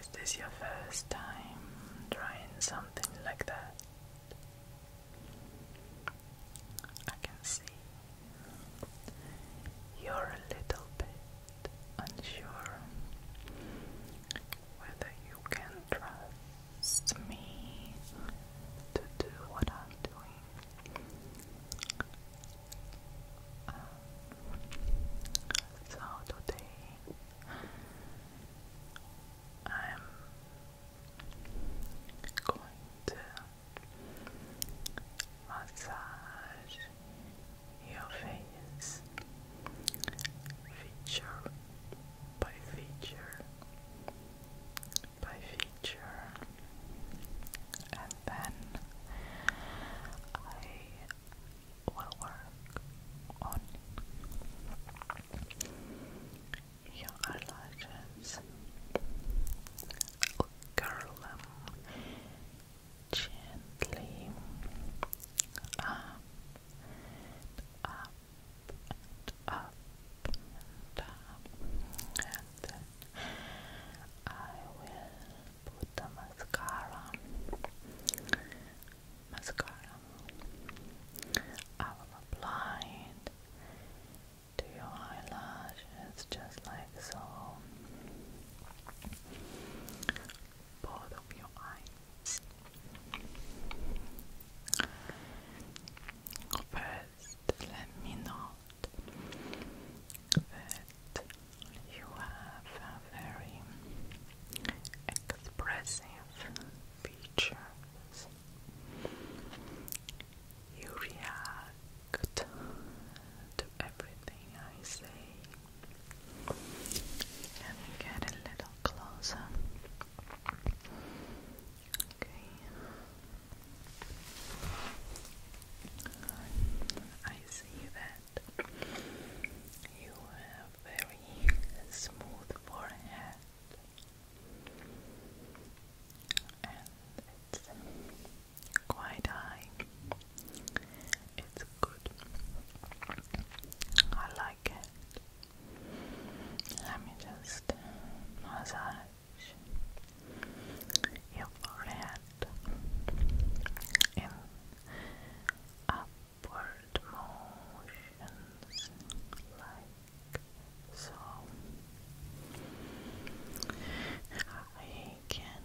Is this your first time trying something like that? I can see you're a little bit unsure whether you can trust it's me to do what I'm doing. Um, so today I'm going to massage your face feature by feature by feature, and then I will work on your eyelashes, curl them gently up, up, and up and then I will put the mascara. Mascara. I will apply it to your eyelashes just like so. Both of your eyes. First, let me note that you have very expressive features. You react to everything I say. Let me get a little closer. I see that you have very smooth forehead and it's quite high. It's good. I like it. Let me just massage your forehead in upward motions like so. I can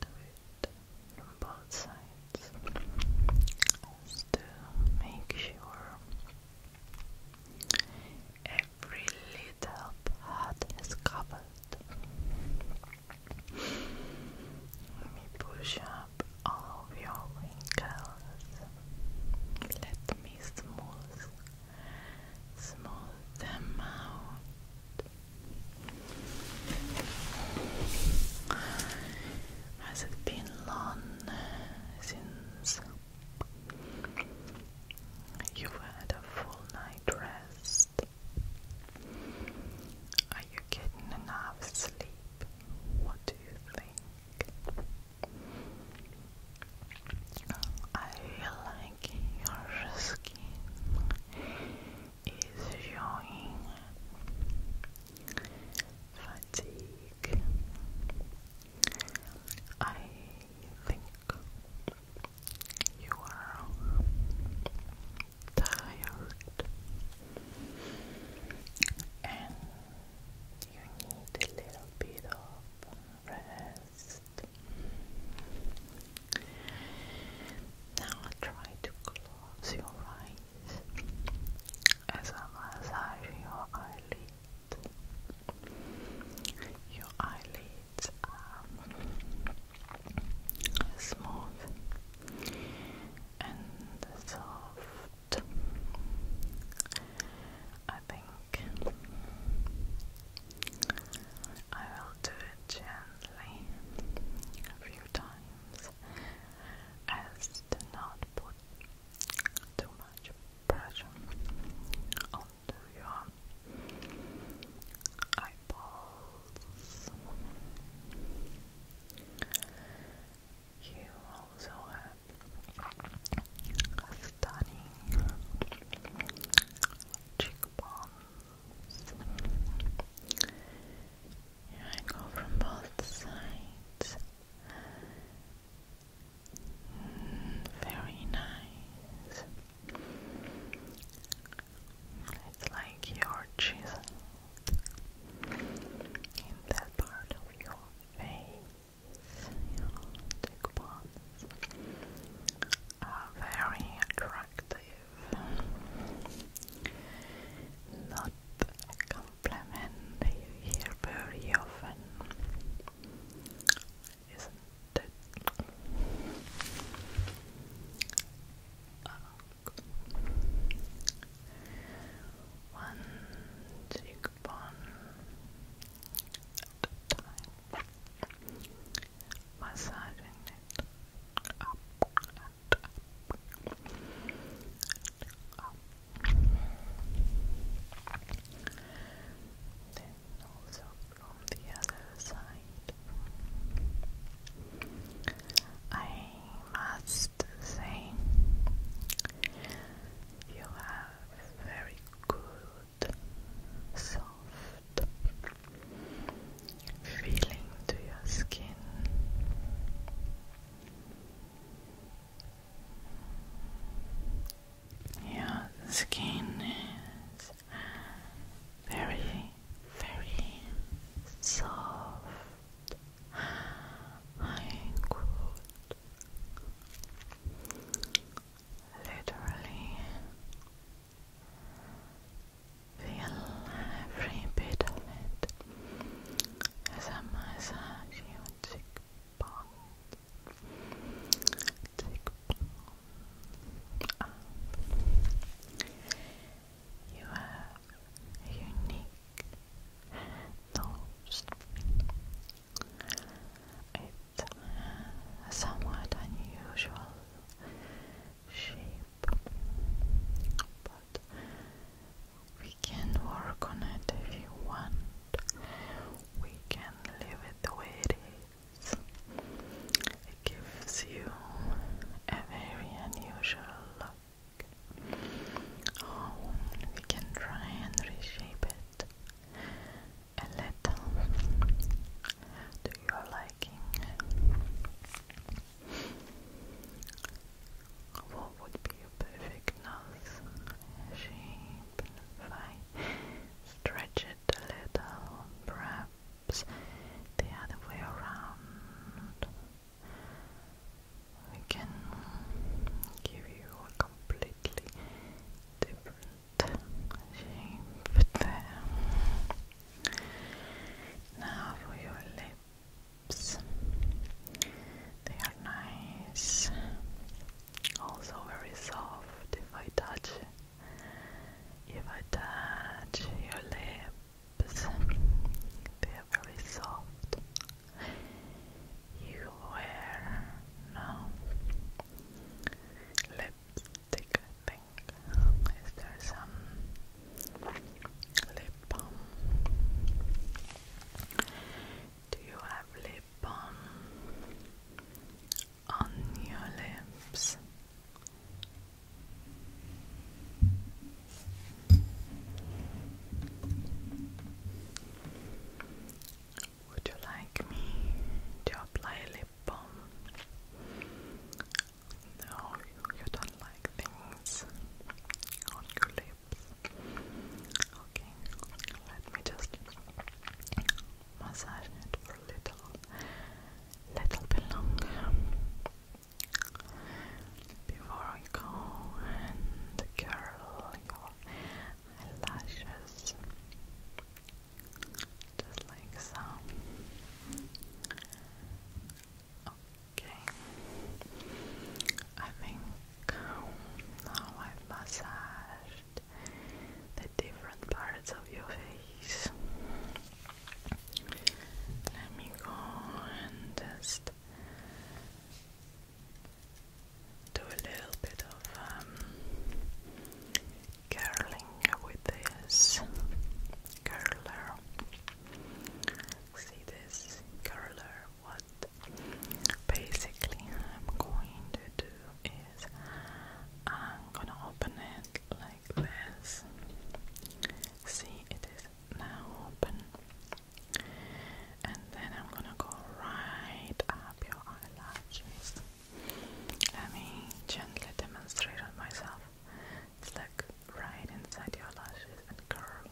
do it from both sides to make sure every little part is covered. Let me push up all of your wrinkles. Let me smooth, smooth them out. Has it been long since you've had a full night's rest? Are you getting enough sleep? What do you think? I feel like your skin is showing. I think you are tired and you need a little bit of rest. Now try to close your eyes as I massage your eyelids. Your eyelids are smooth and soft. I think I will do it gently a few times as to not put too much pressure onto your eyeballs. You also have stunning cheekbones. Here I go from both sides. very nice. It's like your chisel in that part of your face. Your cheekbones are very attractive not a compliment you hear very often, isn't it? at ah. a time, massaging it up then also from the other side, I must say you have very good soft feeling to your skin. Your skin is very, very soft and cool. Literally Feel every bit of it as I massage your cheekbone, You are unique nose. It's somewhat unusual shape but we can work on it if you want we can leave it the way it is it gives you a very unusual look oh, we can try and reshape it a little to your liking. What would be your perfect nose shape? If stretch it a little, perhaps the other way around. We can give you a completely different shape there. Now for your lips, they are nice, also very soft. If I touch, if I touch your lips, they are very soft. You wear now lips do you have lip balm on your lips? Would you like me to apply a lip balm no, you don't like things on your lips. Okay, let me just massage it for a little, little bit longer before we go and curl your eyelashes. Just like so. Okay. I think now I've massaged the different parts of your face. Let me go and just do a little bit of um, curling with this curler. See this curler? What basically I'm going to do is I'm gonna open it like this. See, it is now open, and then I'm gonna go right up your eyelashes. Let me gently demonstrate on myself. It's right inside your lashes and curl.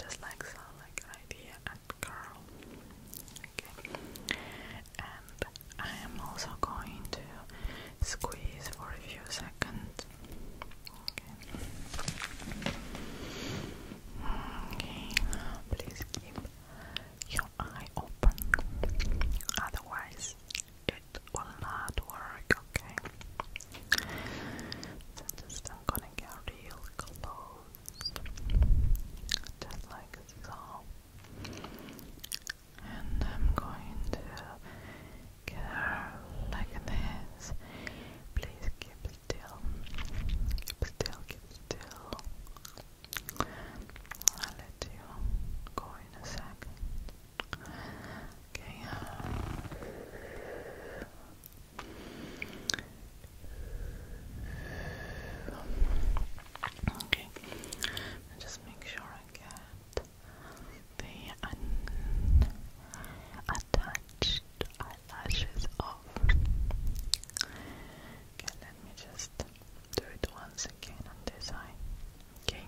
Just like so, like idea and curl. Okay. And I am also going to squeeze for a few seconds. Okay. Okay. Please keep your eye open. Otherwise, it will not work, okay? I'm gonna get real close. Just like so. And I'm going to get her like this. Please keep still. Keep still, keep still. I'll let you go in a second. Okay. Uh, okay. just make sure I get the un attached off. Okay, let me just do it once again on this eye. Okay,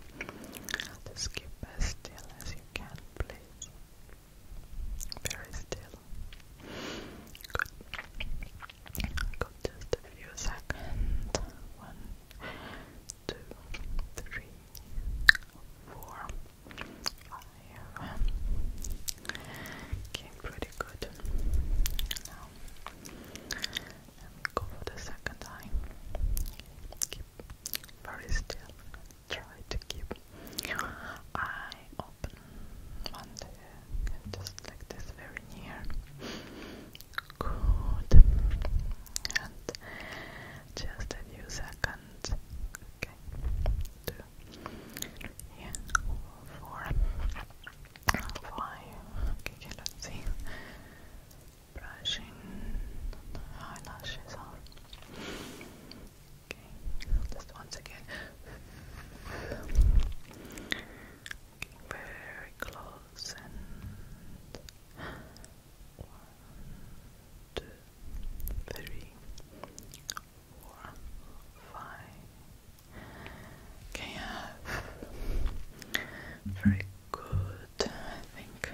just keep as still as you can, please. Very still. Good. Good, just a few seconds. One, two, three, four, five. Okay, pretty good and go for the second eye. Keep very still. Try to keep eye open one day, just like this, very near. Good. And just a few seconds. Okay. Two. Yeah. Four five. Okay, okay, let's see. eyelashes just once again. very close one, two, three four, five. Okay, uh, very good. I think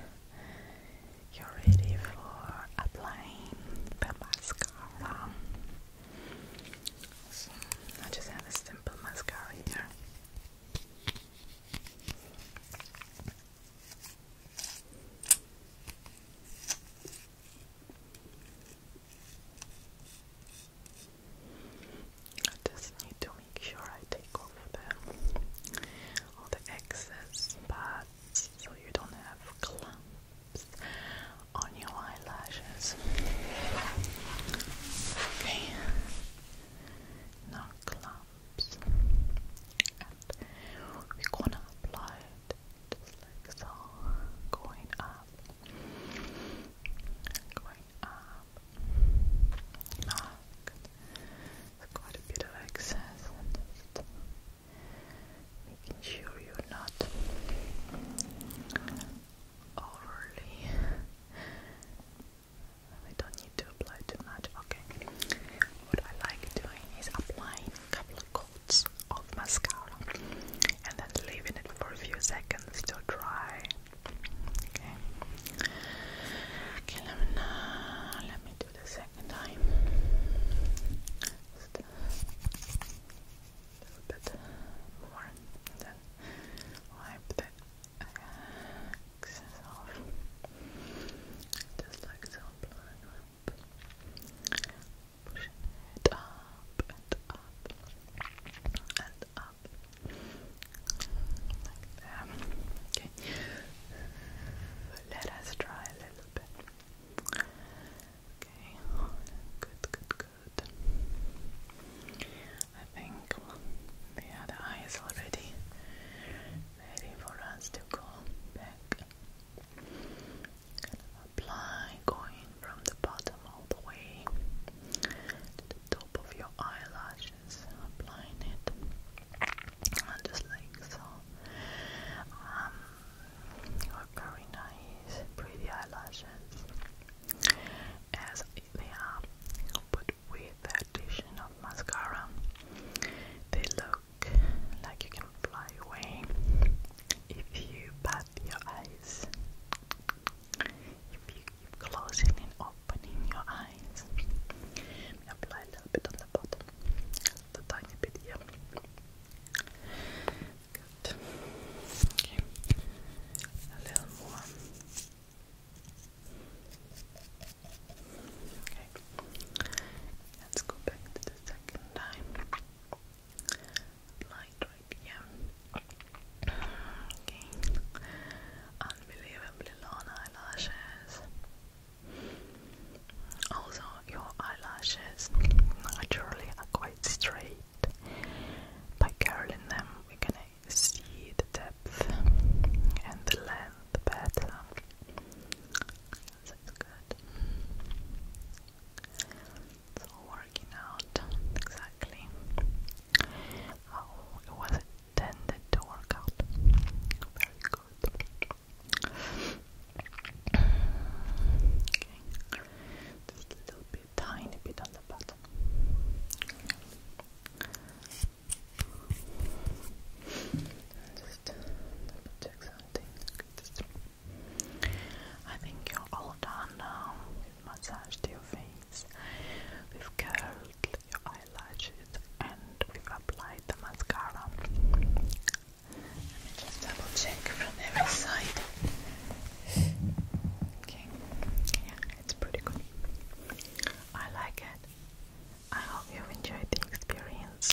you're ready for applying the mascara. I just have a simple mascara here. I just need to make sure I take off the, all the excess pads so you don't have clumps on your eyelashes. Okay, no clumps. And we're gonna apply just like so, going up, going up, knock, quite a bit of excess, making sure you're not overly, we don't need to apply too much, okay, what I like doing is applying a couple of coats of mascara and then leaving it for a few seconds to dry. Okay. Okay, let let me do the second time. a little bit more, and then wipe the excess off. Just like pushing it up and up and up Okay, let us try a little bit. Okay, good, good, good. I think the eye is already ready for us to go back kind going from the bottom all the way to the top of your eyelashes, applying it just like so. Um, very nice, pretty eyelashes as they are, but with the addition of mascara, they look like you can fly away if you bat your eyes, if you closing and opening your eyes, apply a little bit on the bottom, a tiny bit here. A little more. Okay. Let's go back the second time. Light right Okay. Unbelievably long eyelashes. Also, your eyelashes naturally are quite straight. By curling them, we can see the depth and the length better. This is good. It's all working out exactly how it was intended to work out. Very good. Just a little bit, tiny bit on the bottom. Just check something. I think you're all done now. We've massaged your face, we've curled your eyelashes, and we've applied the mascara. Let me just double check from every side. Okay, yeah, it's pretty good. I like it. I hope you've enjoyed the experience